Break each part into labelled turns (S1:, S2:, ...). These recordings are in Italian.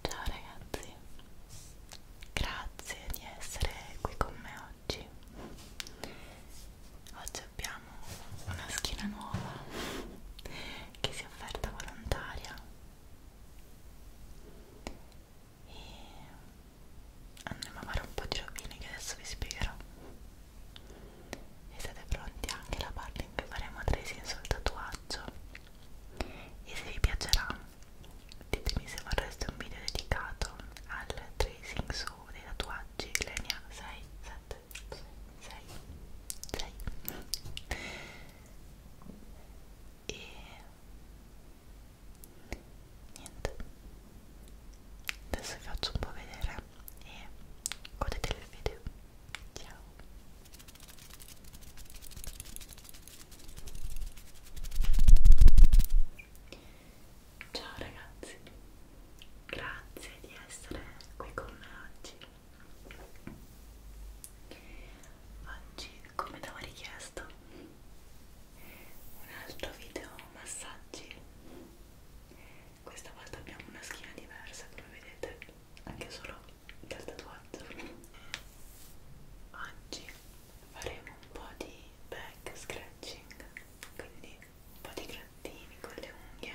S1: Ciao ragazzi, grazie di essere qui con me oggi. Oggi abbiamo una schiena nuova che si è offerta volontaria e andremo a fare un po' di rovine che adesso vi spiegherò e siete pronti anche alla parte in cui faremo tracing sul tatuaggio e se vi piacerà ditemi se vorreste un video dedicato al tracing su dei tatuaggi linea 6, 7, 6, 6 e niente adesso vi faccio un po' vedere e godete il video ciao ciao ragazzi grazie di essere qui con me oggi Oggi, come ti avevo richiesto, un altro video massaggi. Questa volta abbiamo una schiena diversa, come vedete, anche solo dal tatuaggio. Oggi faremo un po' di back scratching, quindi un po' di grattini con le unghie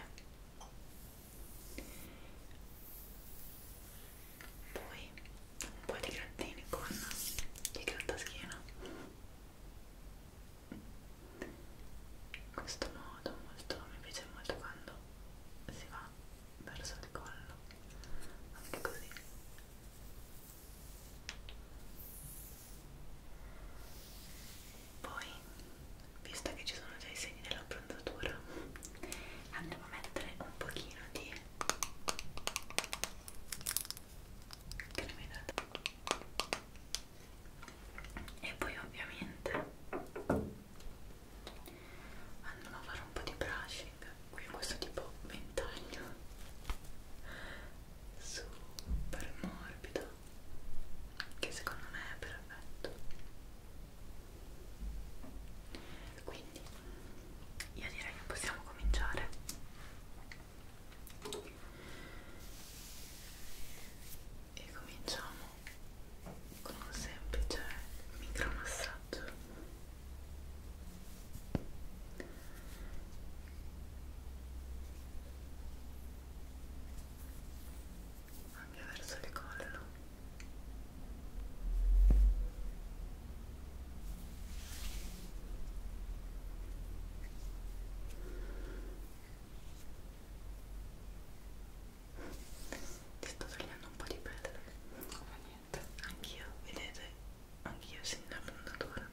S1: poi un po' di grattini con il grattaschino in questo modo molto, mi piace molto quando si va verso il collo anche così poi visto che ci sono già i segni dell'abbronzatura andiamo a mettere un pochino di che ne e poi ovviamente andiamo a fare un po' di brushing qui questo tipo ventaglio super morbido che secondo me è perfetto quindi io direi che possiamo cominciare e cominciamo con un semplice micromassaggio anche verso il collo ti sto togliendo un po' di pelle ma niente anch'io vedete anch'io sin da puntatura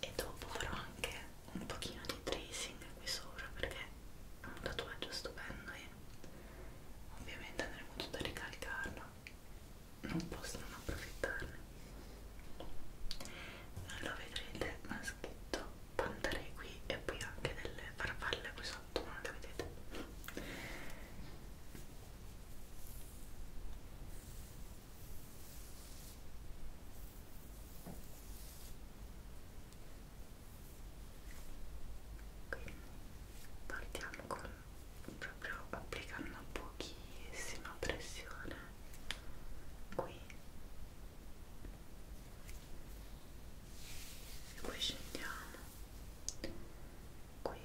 S1: e dopo farò anche un pochino di tracing qui sopra perché un tatuaggio stupendo e eh. ovviamente andremo tutto a ricalcarlo non posso non approfittarne lo vedrete ma scritto pantarei qui e poi anche delle farfalle qui sotto ma non le vedete quindi partiamo con proprio applicando pochissima pressione qui e poi scendiamo qui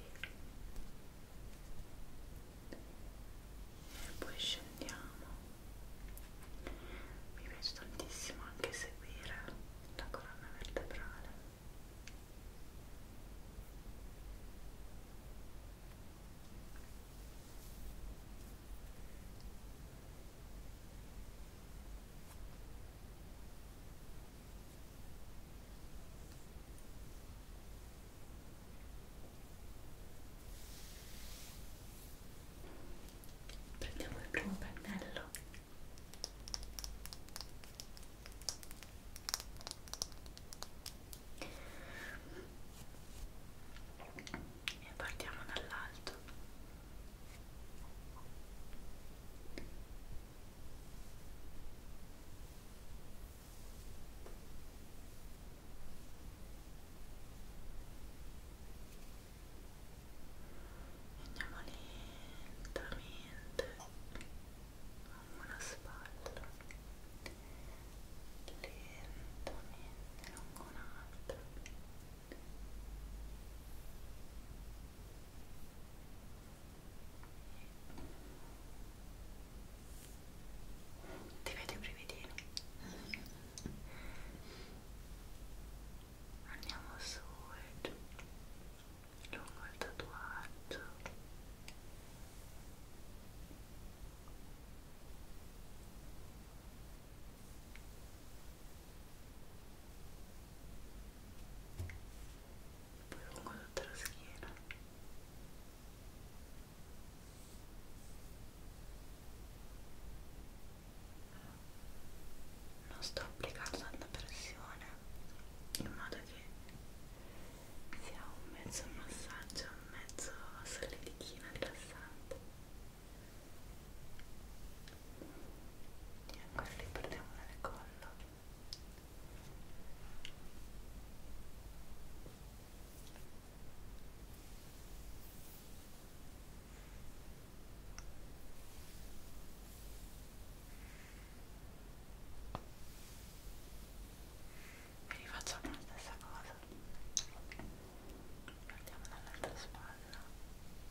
S1: e poi scendiamo mi piace tantissimo anche seguire la colonna vertebrale prendiamo il primo pennello e partiamo dall'alto andiamo lentamente lungo la spalla lentamente lungo un'altra ti vedo i brividini andiamo su e giù lungo il tatuaggio poi lungo tutta la schiena non sto applicando tanta pressione in modo che sia un mezzo massaggio un mezzo solidichino rilassante e ancora li perdiamo nel collo e rifacciamo la stessa cosa partiamo dall'altra spalla ok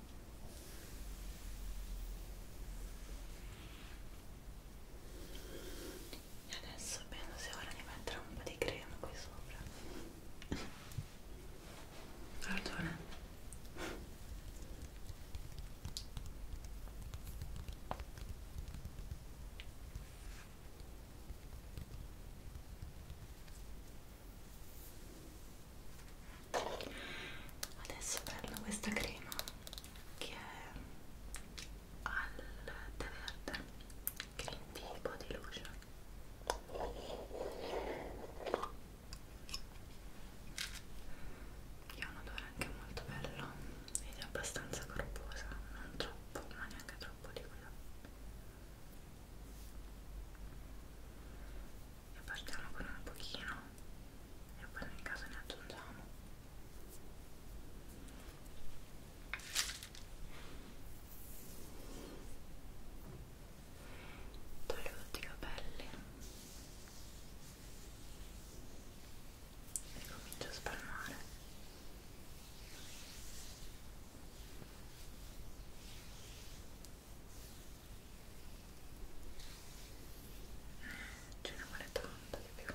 S1: E adesso penso sia ora di mettere un po' di crema qui sopra. Pardon adesso prendo questa crema che è al tè verde green tea body lotion che ha un odore anche molto bello ed è abbastanza corposa non troppo ma neanche troppo liquida e partiamo con un pochino e poi nel caso ne aggiungiamo toglio tutti i capelli e comincio a spalmare ce ne vuole tanto di più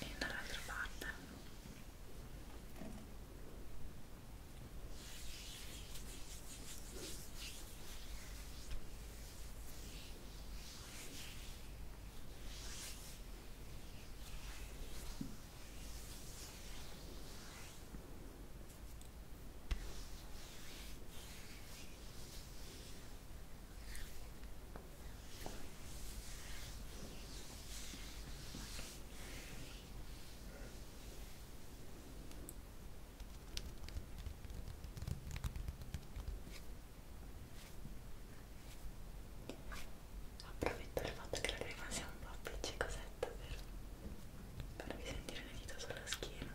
S1: e dall'altra parte Approfitto del fatto che la crema sia un po' appiccicosetta per farvi sentire le dita sulla schiena.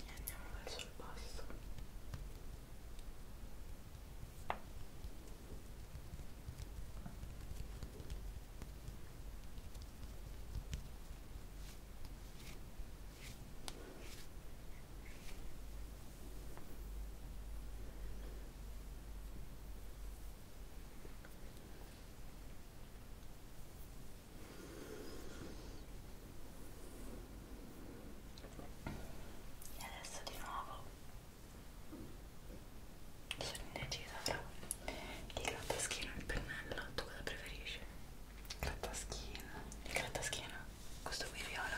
S1: e andiamo verso il basso e adesso di nuovo sono indecisa fra il grattaschino e il pennello tu cosa preferisci? grattaschino il grattaschino? questo qui viola?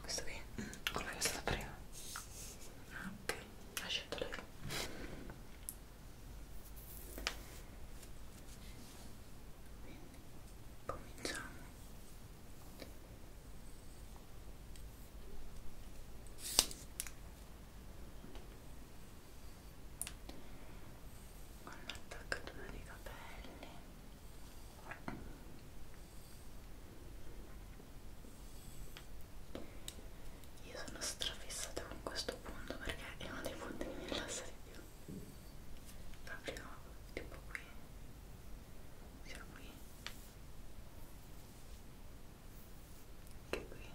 S1: questo qui? Mm, quello che è stato prima? ok ah, ha scelto lei quindi cominciamo con l'attaccatura dei capelli io sono strafissata con questo punto perché è uno dei punti che mi rilassa di più. Proprio tipo qui. Sia qui. Che qui. Ecco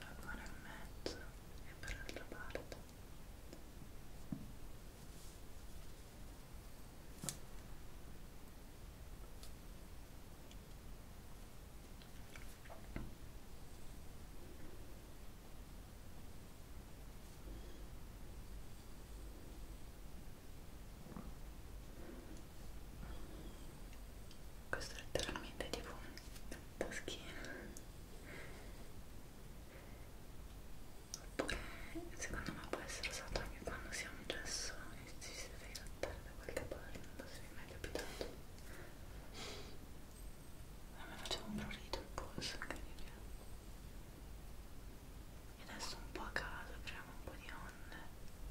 S1: ancora in mezzo e per l'altra parte Ecco questo è letteralmente tipo un taschino oppure secondo me può essere usato anche quando si ha un gesso e si deve grattare da qualche parte non so se vi è mai capitato a me faceva un prurito il polso incredibile e adesso un po' a caso apriamo un po' di onde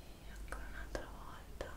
S1: e ancora un'altra volta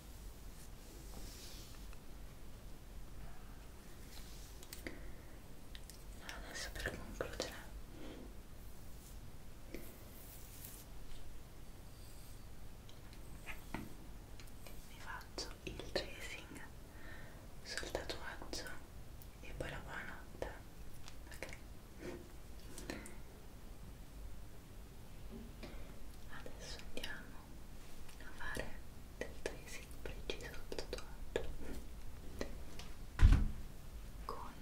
S1: Adesso per concludere vi faccio il tracing sul tatuaggio e poi la buonanotte ok adesso andiamo a fare del tracing preciso sul tatuaggio con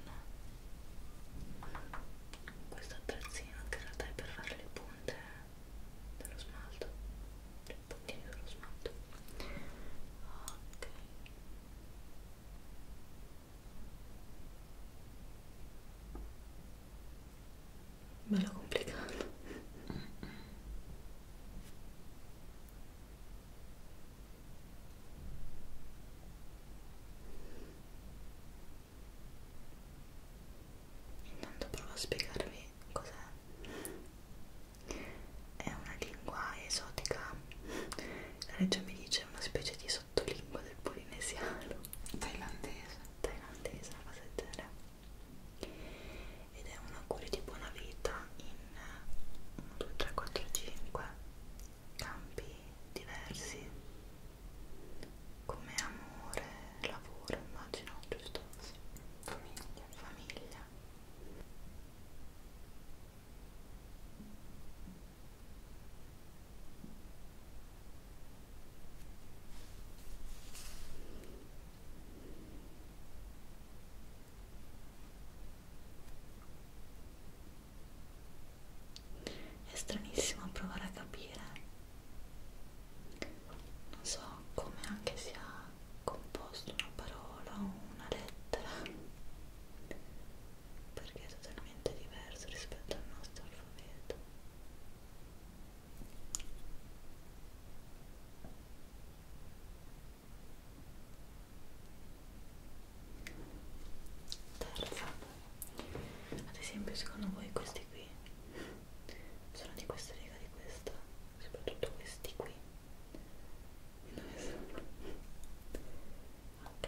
S1: questo attrezzino che in realtà è per fare le punte dello smalto i puntini dello smalto ok bello complicato intanto provo a spiegarvi cos'è è una lingua esotica la regia mi dice una specie di sottolingua del polinesiano Thailandese. Thailandese, una cosa del genere. Ed è un augurio di buona vita in 1, 2, 3, 4, 5 campi diversi come amore, lavoro, immagino, giusto? Sì. Famiglia, famiglia. È stranissimo provare a capire, non so come anche sia composto una parola o una lettera, perché è totalmente diverso rispetto al nostro alfabeto. Terza, ad esempio secondo voi questi qui sono di questa riga di questa, soprattutto questi qui. Dove sono? Ok.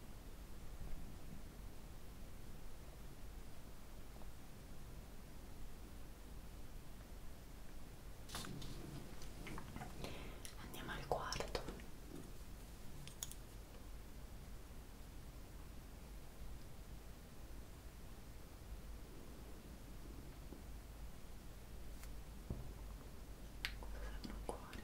S1: Andiamo al quarto. Cosa serve un cuore?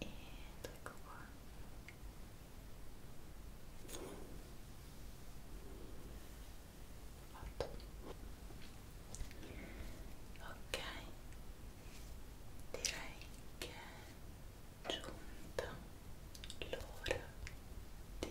S1: ed ecco qua fatto ok direi che è giunta l'ora di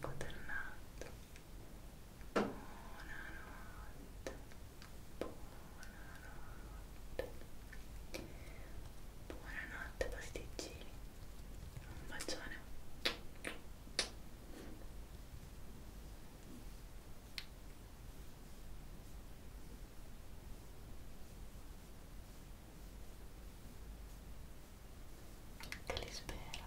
S1: Buonanotte. Buonanotte buonanotte buonanotte pasticcini un bacione che li spera